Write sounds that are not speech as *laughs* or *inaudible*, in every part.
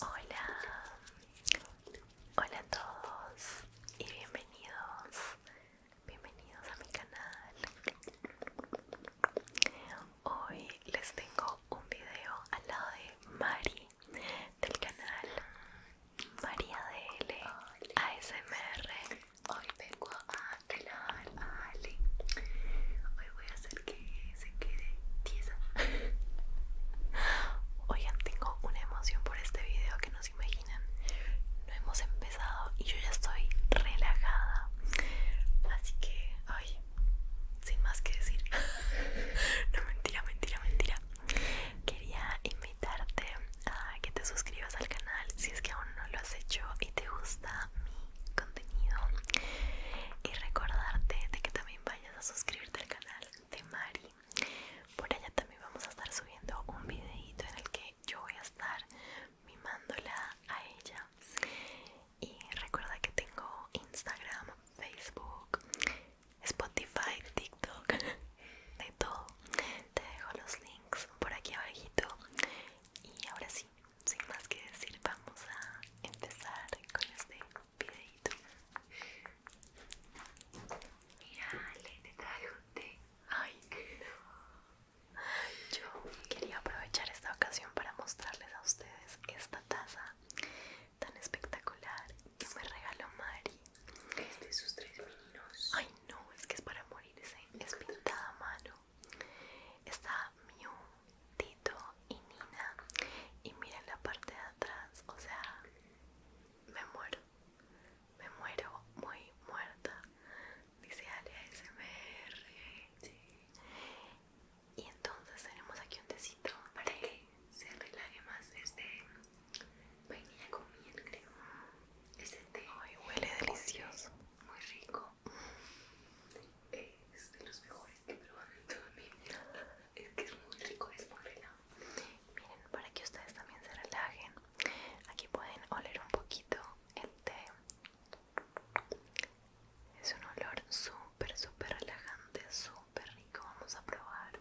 Hola, hola a todos y bienvenidos, bienvenidos a mi canal. Hoy les tengo un video al lado de Mari del canal María L ASMR. Hoy vengo a Hoy voy a hacer que se quede tiesa. *laughs* Oigan, tengo una emoción por este video que no se imaginan. No hemos empezado y yo ya estoy relajada. Así que, hoy sin más que decir. *laughs* no, mentira, mentira, mentira. Quería invitarte a que te suscribas al canal si es que aún no lo has hecho y te gusta mi contenido y recordarte de que también vayas a suscribirte al canal de Mari. Por allá también vamos a estar subiendo un videito en el que yo voy a estar mimándola a ella. Y recuerda que tengo Instagram, Facebook, Spotify, TikTok, *laughs* de todo. Te dejo los links por aquí abajito. Y ahora sí, sin más que decir vamos a empezar con este videito Mira le te un té Ay, yo quería aprovechar esta ocasión para mostrarles a ustedes esta taza tan espectacular que me regaló Mari. Es de sus tres meninos. Ay no, es que es para morirse. Es pintada mano. Está Mew, Tito y Nina. Y miren la parte de atrás, o sea, me muero. Me muero muy muerta. Dice Alia SMR. Sí. Y entonces tenemos aquí un tecito para que se relaje más. Este Venía con miel, creo. ese té. Ay, huele delicioso. Muy rico. Es de los mejores que he probado en toda mi vida. Es que es muy rico, es muy Miren, para que ustedes también se relajen, aquí pueden oler un poquito el té. Es un olor súper, súper relajante, súper rico. Vamos a probar.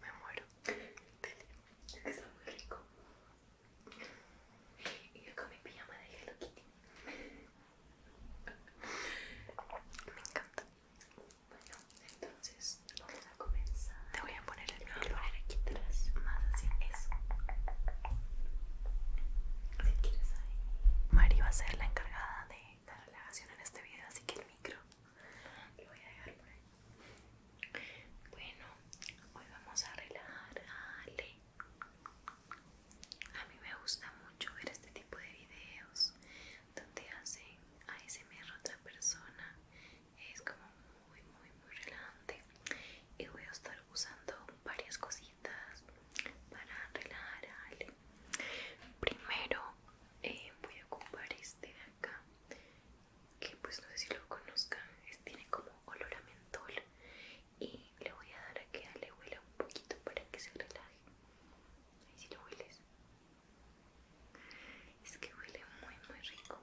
Me muero que está muy rico. Y yo con mi pijama de Hello Kitty. Me encanta. Bueno, entonces vamos a comenzar. Te voy a poner el poner aquí atrás. Más así. Eso. Si quieres ahí. Mari va a ser la encargada de la relajación en este video, así que el micro lo voy a dejar por ahí. Bueno, hoy vamos a relajar a Ale. A mí me gusta mucho ver este tipo de videos donde hacen ASMR a otra persona. Es como muy, muy, muy relajante. Y voy a estar usando varias cositas para relajar a Ale. Primero eh, voy a ocupar este de acá que pues no sé si lo conozcan, tiene como olor a mentol y le voy a dar a que le huele un poquito para que se relaje. Ahí si lo hueles. Es que huele muy muy rico.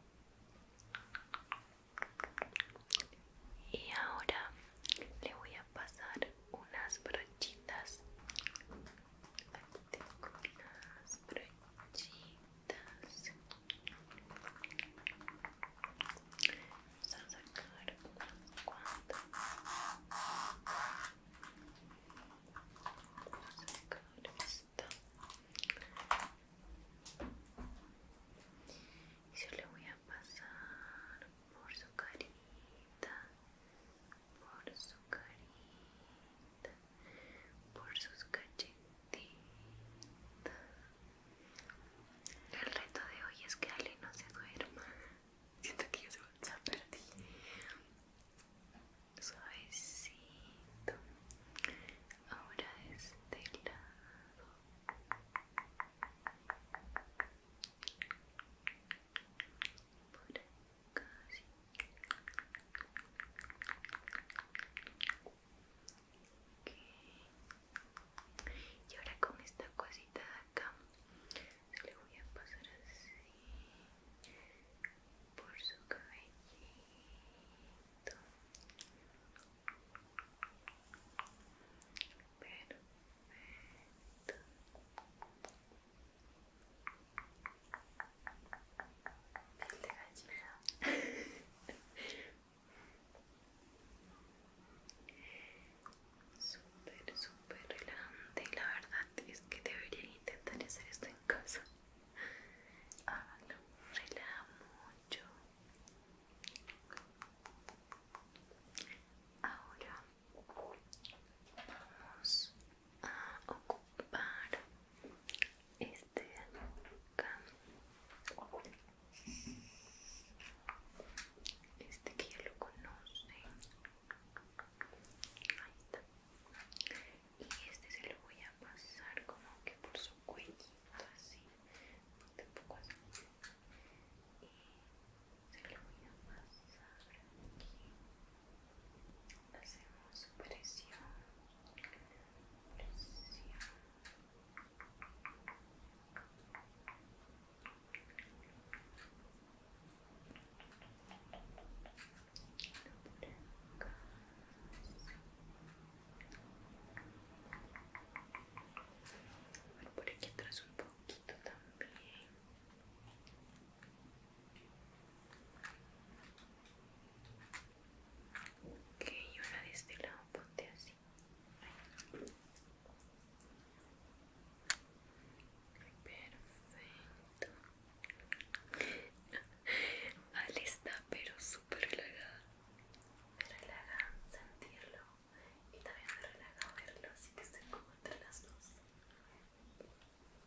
Y ahora le voy a pasar unas brochitas. Aquí tengo unas brochitas orejitas vamos a sacar unas cuanta vamos a sacar esta y yo le voy a pasar por su carita por su carita por sus cachetitas. El reto de hoy es que Ale no se duerma. Siento que yo se va a perder. Suavecito. Ahora de este lado. Por aquí y ahora con esta cosita de acá se le voy a pasar así por su cabellito Perfecto. Super, de gallina. Súper, súper relajante. La verdad es que deberían intentar hacer esto en casa. Háganlo. Relaja mucho. Ahora vamos a ocupar este de este que ya lo conoce ahí está y este se lo voy a pasar como que por su cuellito así un poco así y se lo voy a pasar aquí hacemos presión presión por aquí atrás un poquito también Ok, y una de este lado ponte así. Perfecto. *laughs* Vale, está pero súper relajada. Me relaja sentirlo y también me relaja verlo, así que estoy como entre las dos.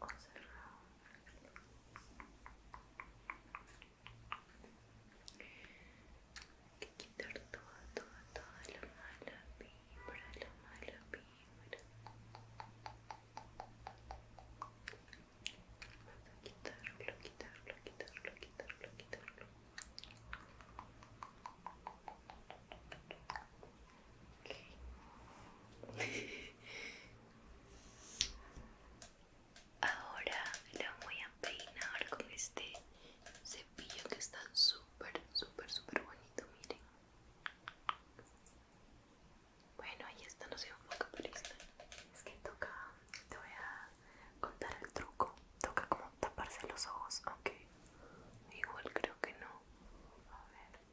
conservado que quitar toda, toda, toda la mala vibra, la mala vibra vamos a quitarlo, quitarlo, quitarlo, quitarlo, quitarlo Ahora la voy a peinar con este cepillo que está súper, súper, súper bonito, miren. Bueno, ahí está, no se enfoca, pero esta. Es que toca, te voy a contar el truco. Toca como taparse los ojos, aunque igual creo que no. A ver.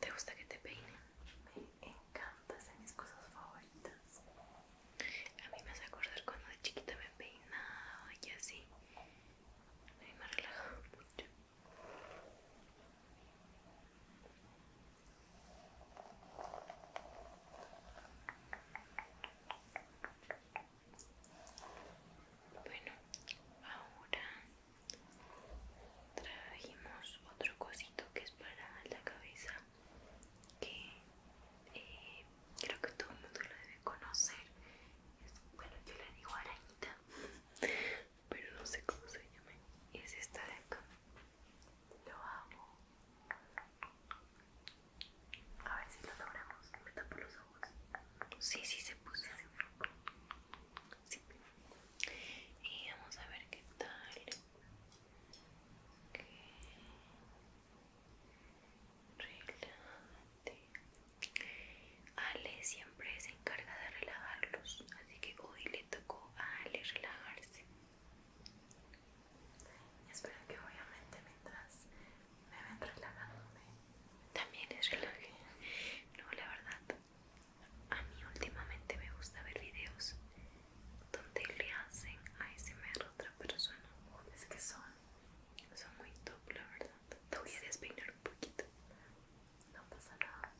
¿Te gusta que te peinen? Me encanta, son mis cosas favoritas. A mí me hace acordar cuando de chiquita me peinaba y así. A mí me relaja mucho. Bueno, ahora trajimos otro cosito que es para la cabeza que eh, creo que todo el mundo lo debe conocer. bueno, yo le digo arañita, *laughs* pero no sé cómo se llama. Es esta de acá. Lo hago a ver si lo logramos. Me tapo los ojos. Sí, sí se puso. Sí. Y vamos a ver qué tal. Ale siempre se encarga de relajarlos, así que hoy le tocó a Ale relajarse. Espero que obviamente mientras me ven relajándome también les relaje. No, la verdad, a mí últimamente me gusta ver videos donde le hacen a ese a otra persona. Es que son, son muy top, la verdad. Te voy a despeinar un poquito. No pasa nada.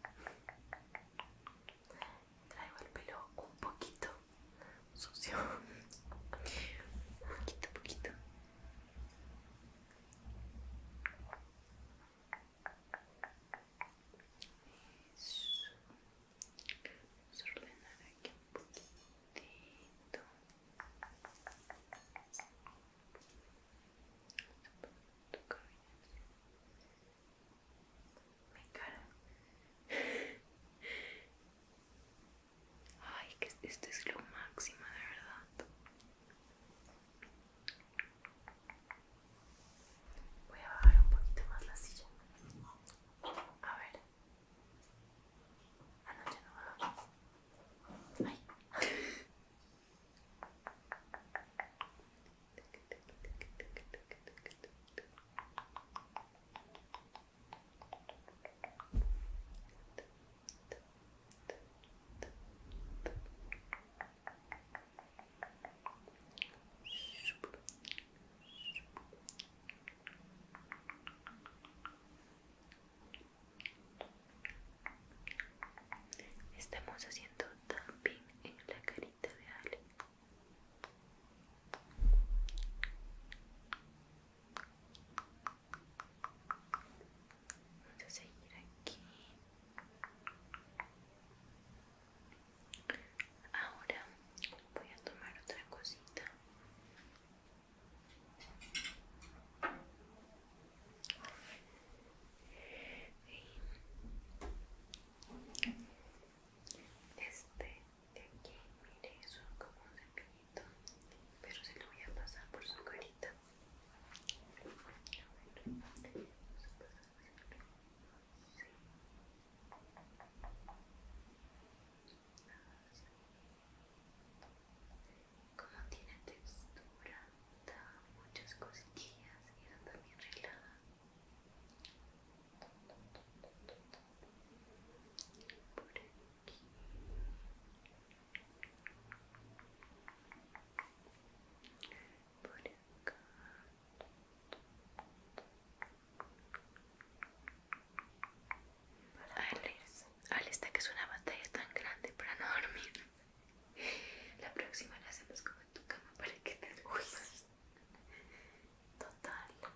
Traigo el pelo un poquito sucio poquito poquito Eso. Vamos a ordenar aquí un poquitito. Tu Mi cara. Ay, que esto es lo máximo, de verdad. Voy a bajar un poquito más la silla. A ver. noche ah, no, Ay. *laughs* Estamos haciendo tapping en la carita de Ale. Vamos a seguir aquí. Ahora voy a tomar otra cosita. Este de aquí, mire, como un cepillito, pero se lo voy a pasar por su carita. vamos a Como tiene textura, da muchas cosquillas y era también relajada por aquí por acá Alex, Alex está que es una batalla tan grande para no dormir la próxima la hacemos como en tu cama para que te duermas total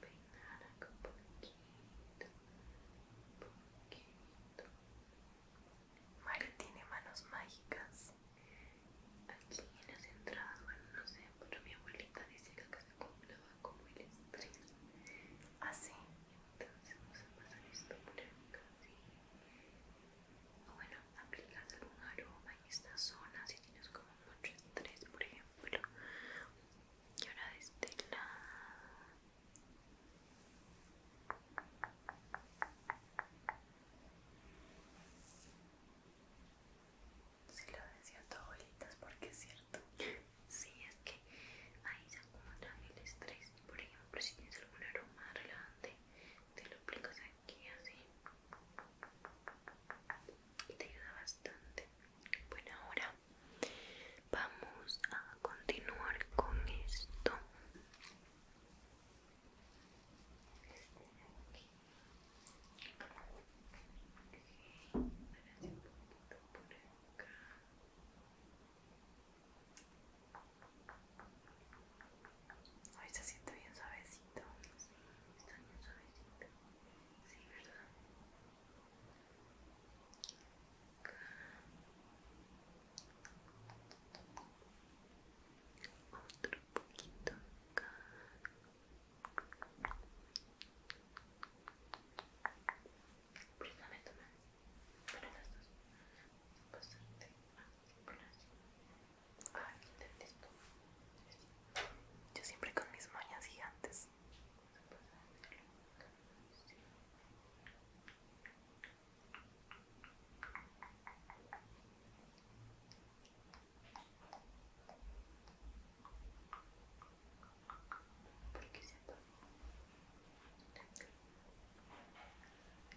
peinar acá un poquito, Mari tiene manos mágicas. Aquí en las entradas, bueno, no sé, pero mi abuelita dice que se acumulaba como el estrés. Así, ah, entonces vamos a pasar esto por acá, O bueno, aplicas algún aroma en esta zona si tienes como mucho estrés, por ejemplo. Y ahora de este la Si lo decía porque es cierto. Si, es que ahí se acumula el estrés. Por ejemplo, si tienes algún aroma relevante te lo explico aquí así te ayuda bastante bueno ahora vamos a continuar con esto Hoy se siente bien suavecito, sí, está bien suavecito. Sí, ¿verdad? Otro poquito acá. Préstame tu mano. Para las dos. Bastante. Ah, con las. Ay, listo. Yo siempre con mis mañas gigantes. Porque se apagó.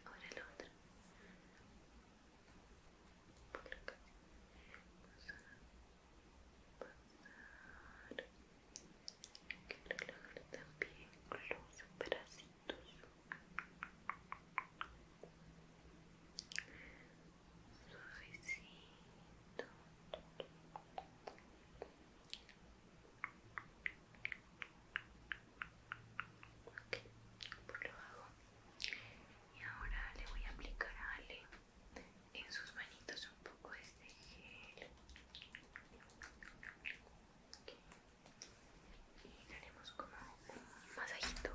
Ahora el otro por acá también los bracitos suavecito Okay, por pues lo hago y ahora le voy a aplicar a Ale en sus manitos un poco de este gel y le haremos como un masajito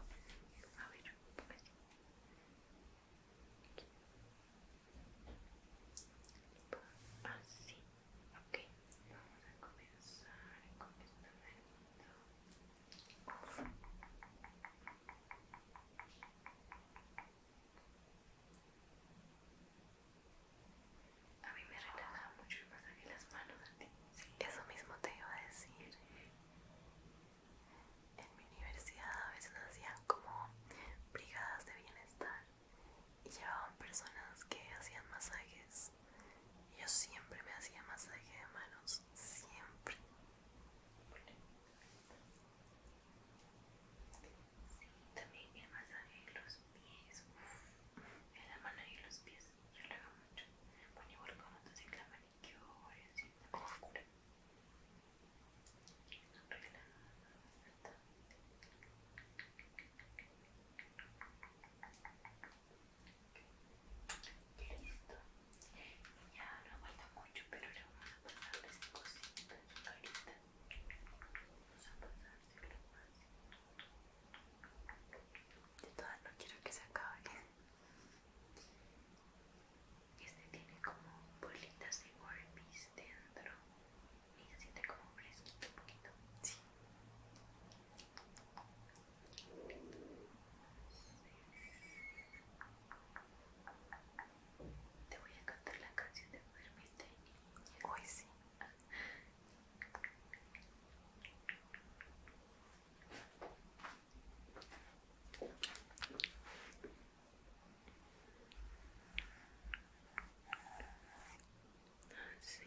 a ver así ok vamos a comenzar con esta manito a mí me relaja mucho el masaje de las manos eso mismo te iba a decir. En mi universidad a veces hacían como brigadas de bienestar y llevaban personas que hacían masajes. Yo siempre me hacía masaje de manos, siempre también el masaje de los pies, en la mano y los pies, yo lo hago mucho. Bueno, igual con otros en la manicure, así, No Listo. Ya no aguanta mucho, pero le vamos a pasarle esta cosita en su Vamos a más. Este de todas no quiero que se acabe. Este tiene como bolitas de Orbeez dentro y se siente como fresquito un poquito. Sí. Te voy a cantar la canción de Niña Hoy sí. Así.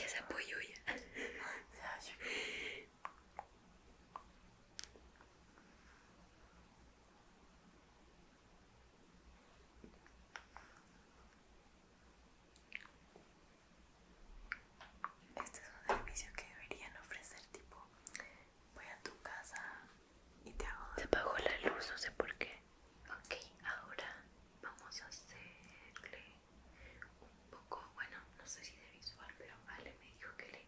Ya se apoyó ya. Este es un servicio que deberían ofrecer tipo voy a tu casa y te Se apagó la luz, no sé por qué. Ok, ahora vamos a hacerle un poco, bueno, no sé si de visual, pero Ale me dijo que le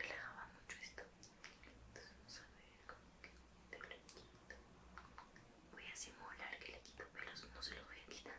relajaba mucho esto. Entonces vamos como que te lo Voy a simular que le quito pelos, no se los voy a quitar.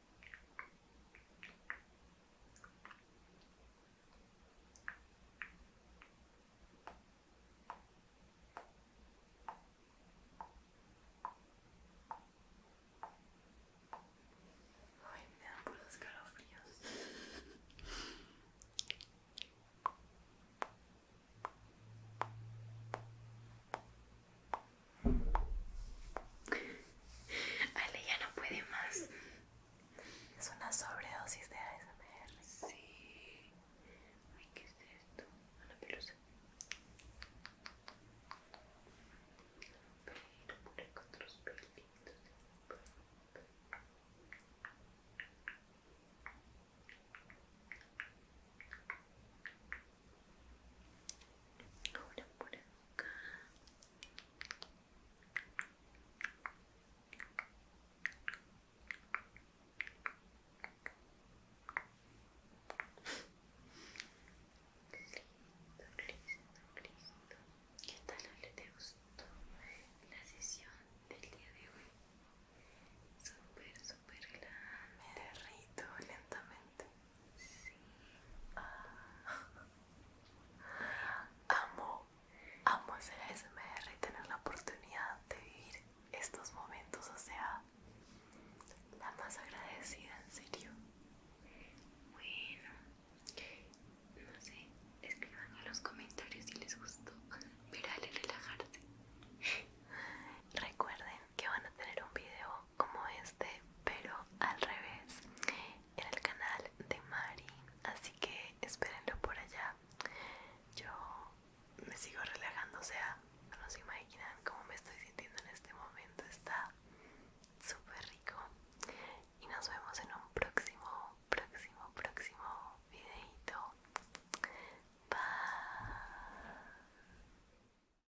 Ay, me dan puros escalofríos. Ale ya no puede más. Es una sobredosis de ASMR. Sí. Ay, ¿qué es esto? Una pelusa. Pero con otros pelitos. Ahora por acá. Listo, listo, listo. ¿Qué tal le te gustó la sesión del día de hoy? Súper, súper grande Me lentamente. Sí. Ah. Amo, amo hacer SMR y tener la oportunidad de vivir estos momentos, o sea, la más agradecida, en serio. Bueno, no sé, escriban en los comentarios si les gustó ver y relajarse. Recuerden que van a tener un video como este pero al revés en el canal de Mari así que espérenlo por allá yo me sigo relajando o sea no se imaginan cómo me estoy sintiendo en este momento está súper rico y nos vemos en un próximo próximo próximo videito bye